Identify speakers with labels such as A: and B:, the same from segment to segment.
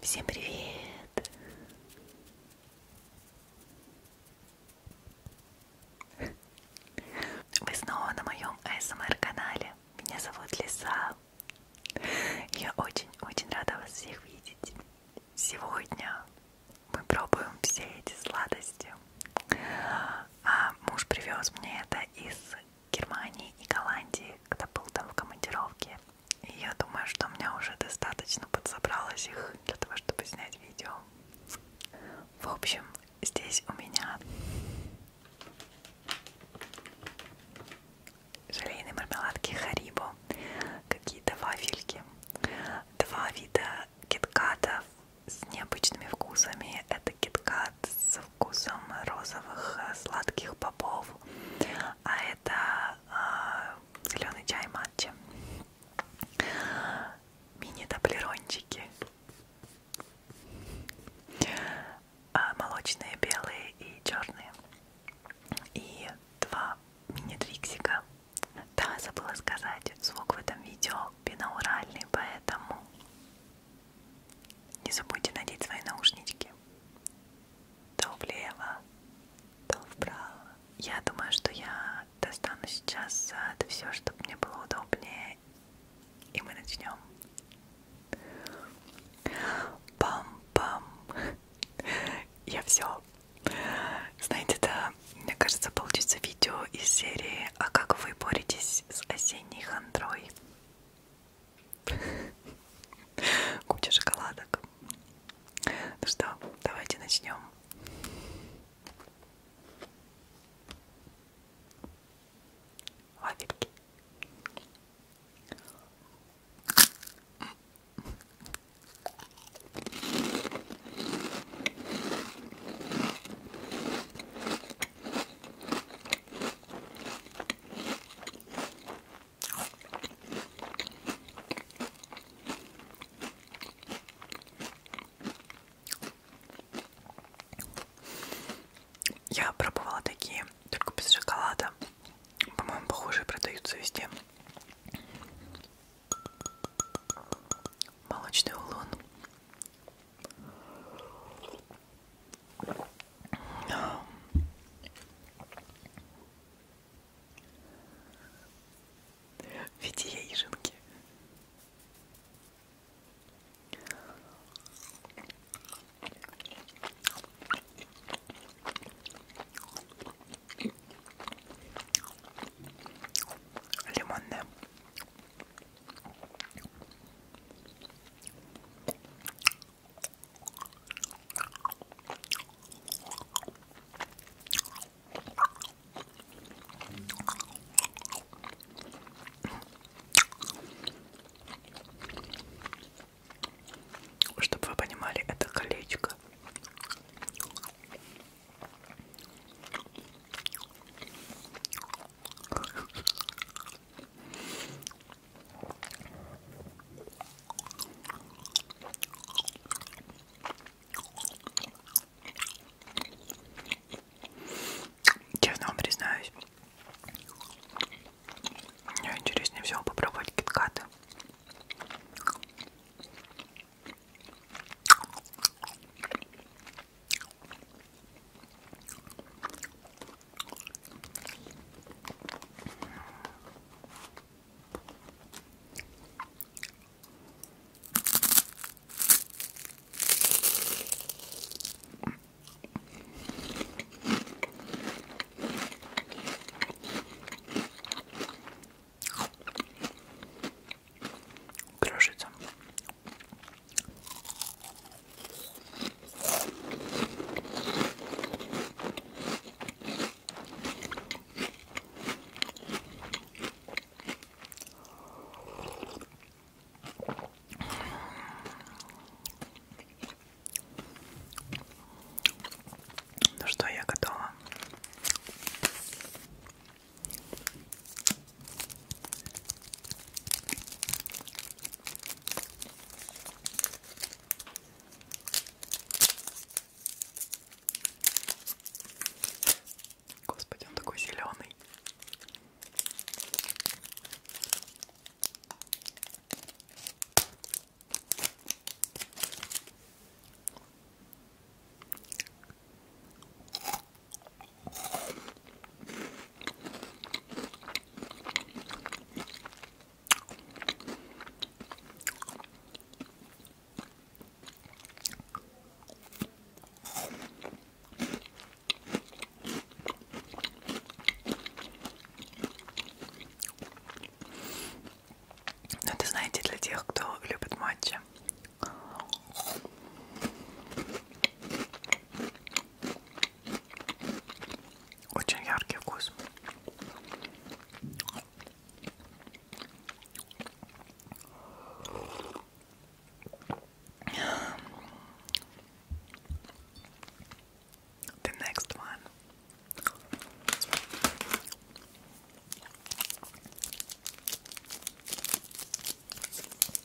A: Всем привет! Вы снова на моем АСМР-канале. Эм Меня зовут Лиса. Я очень-очень рада вас всех видеть. Сегодня мы пробуем все эти сладости. А муж привез мне это из Германии и Голландии, когда был там в командировке. И я думаю, что у меня уже достаточно подсобралось их для того, чтобы снять видео. В общем, здесь у меня желейные мармеладки Харибо, какие-то вафельки, два вида киткатов с необычными вкусами. Это киткат с вкусом розовых э, сладких бобов, а это э, зеленый чай матча, мини-таблерончики, а, молочные, белые и черные, и два мини-триксика. Да, забыла сказать, звук в этом видео бинауральный, поэтому не забудьте надеть свои наушнички то влево, то вправо. Я думаю, что я достану сейчас это все, чтобы мне было удобнее, и мы начнем. Пам-пам. Я все. Знаете, да, мне кажется, получится видео из серии «А как вы боретесь с осенней хандрой?» Куча шоколадок. Ну что, давайте начнем. Вафельки. Я пробовала такие, только без шоколада. По-моему, похожие продаются везде. Молочный улун в виде яишенки. Лимонная. Чтобы вы понимали, это колечко. Честно вам признаюсь, мне интереснее всего попробовать киткаты. Крошится ну что, я готова. Господи, он такой зеленый. Но это, знаете, для тех, кто любит матча. Очень яркий вкус. The next one.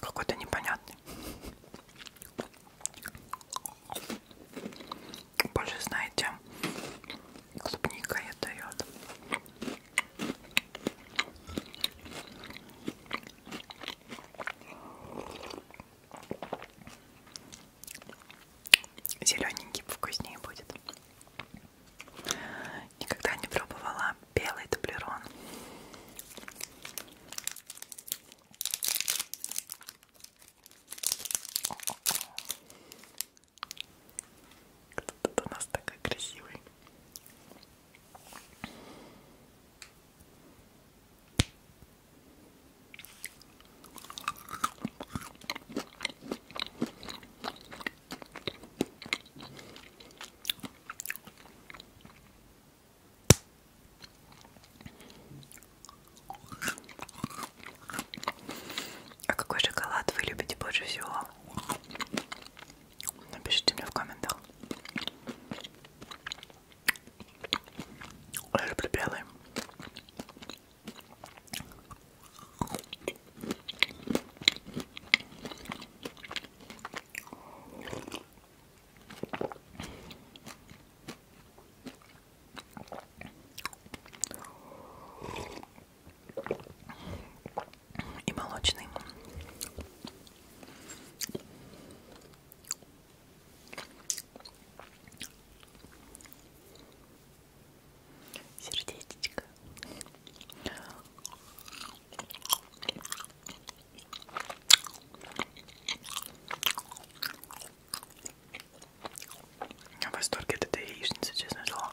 A: Какой-то непонятный. Больше знаете, клубника я дает. Зелененький вкуснее будет. Никогда не пробовала белый таблерон. Кто-то у нас такой красивый. А какой шоколад вы любите больше всего? Напишите мне в комментах. Я люблю белый. И молочный. Сердечечко. Я в восторге от этой яичницы, честно слово.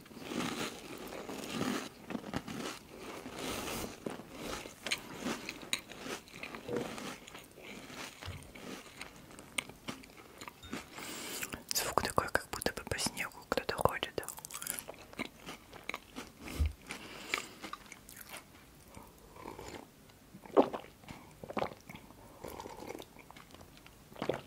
A: Звук такой, как будто бы по снегу кто-то ходит.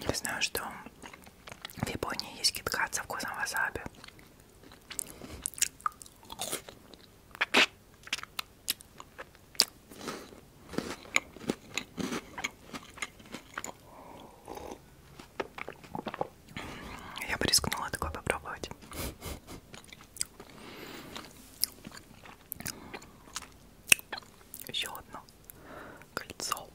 A: Я знаю, что в Японии есть киткат со вкусом васаби. Я бы рискнула такое попробовать. Еще одно кольцо.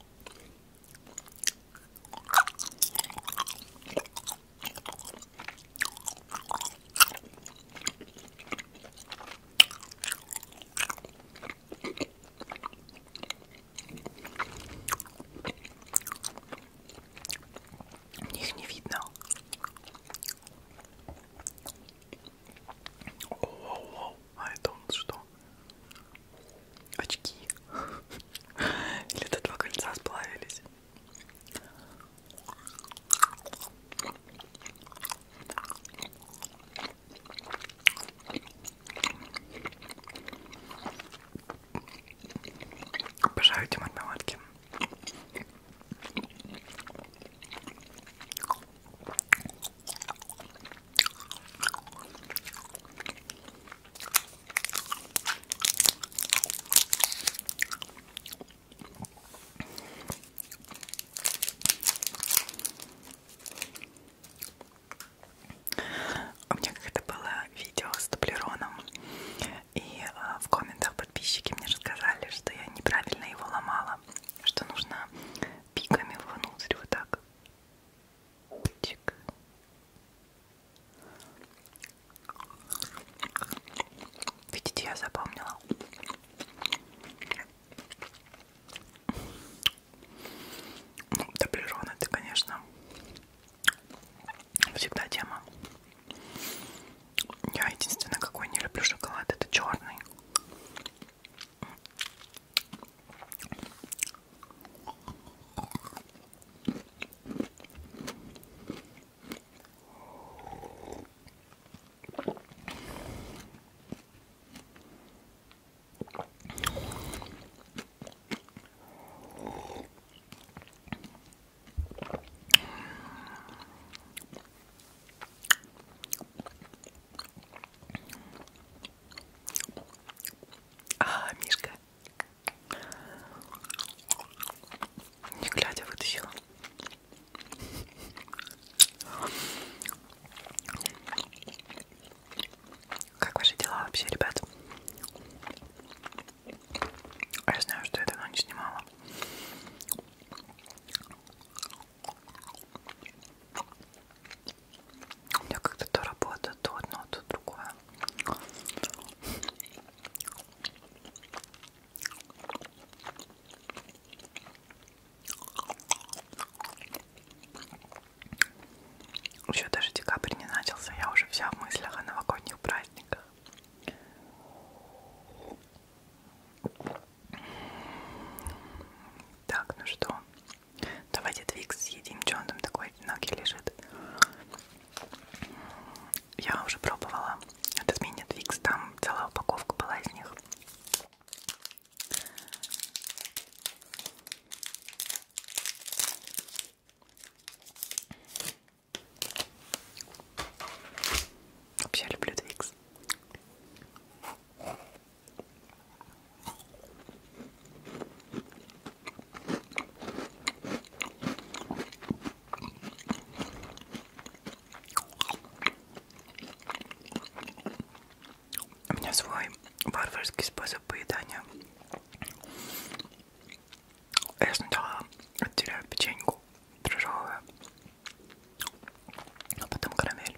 A: Их не видно. Оу-оу-оу, а это у нас что? Очки. Или это два кольца сплавились? Обожаю эти мармеладки. У меня как-то было видео с дублероном, и а, в комментах подписчики мне рассказали, что я неправильно его ломала, что нужно пиками внутрь вот так. Чик. Видите, я запомнила. Ну, дублерон это, конечно, всегда тема. Я единственное, какой не люблю шоколад, это черный. А, Мишка. Не глядя вытащила. Как ваши дела вообще, ребят? А я знаю, что я давно не снимала. У меня как-то то работа, то одно, то другое. Еще даже декабрь не начался, я уже вся в мыслях о новогодних праздниках. Так, ну что, давайте твикс съедим, что он там такой одинокий лежит. Я уже пробовала этот мини-твикс, там целая упаковка была из них. Вообще люблю Твикс. У меня свой варварский способ поедания. Я сначала отделяю печеньку дрожжевую, а потом карамель.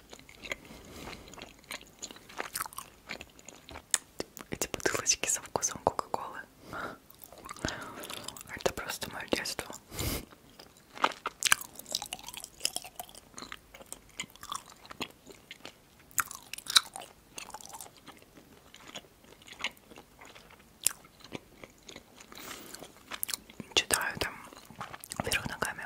A: Эти бутылочки со вкусом кока-колы. Это просто мое детство. Читаю там вверх ногами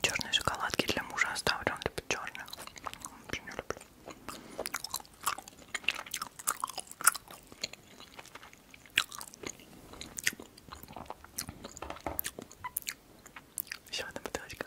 A: Черные шоколадки для мужа оставлю, он любит черные. Вообще не люблю. Еще одна бутылочка.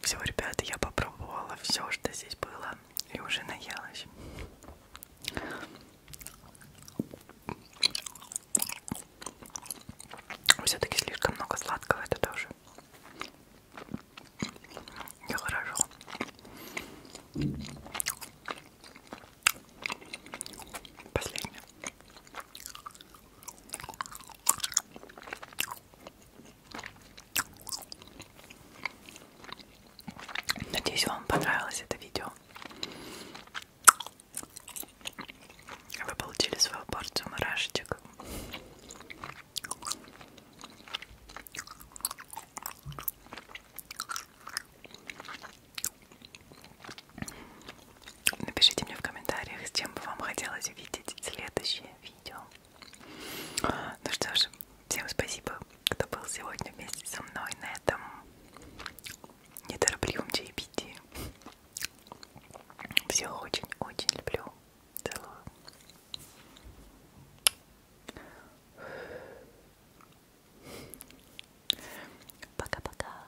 A: Все, ребята, я попробовала все, что здесь было, и уже наелась. Все-таки слишком много сладкого это тоже. Я хорошо. Последнее. Надеюсь, вам понравилось это видео. Вы получили свою порцию мурашечек. Напишите мне в комментариях, с чем бы вам хотелось видеть следующие видео. Ну что ж, всем спасибо, кто был сегодня вместе со мной на этом неторопливом чаепитии. Всех очень-очень люблю. Целую. Пока-пока.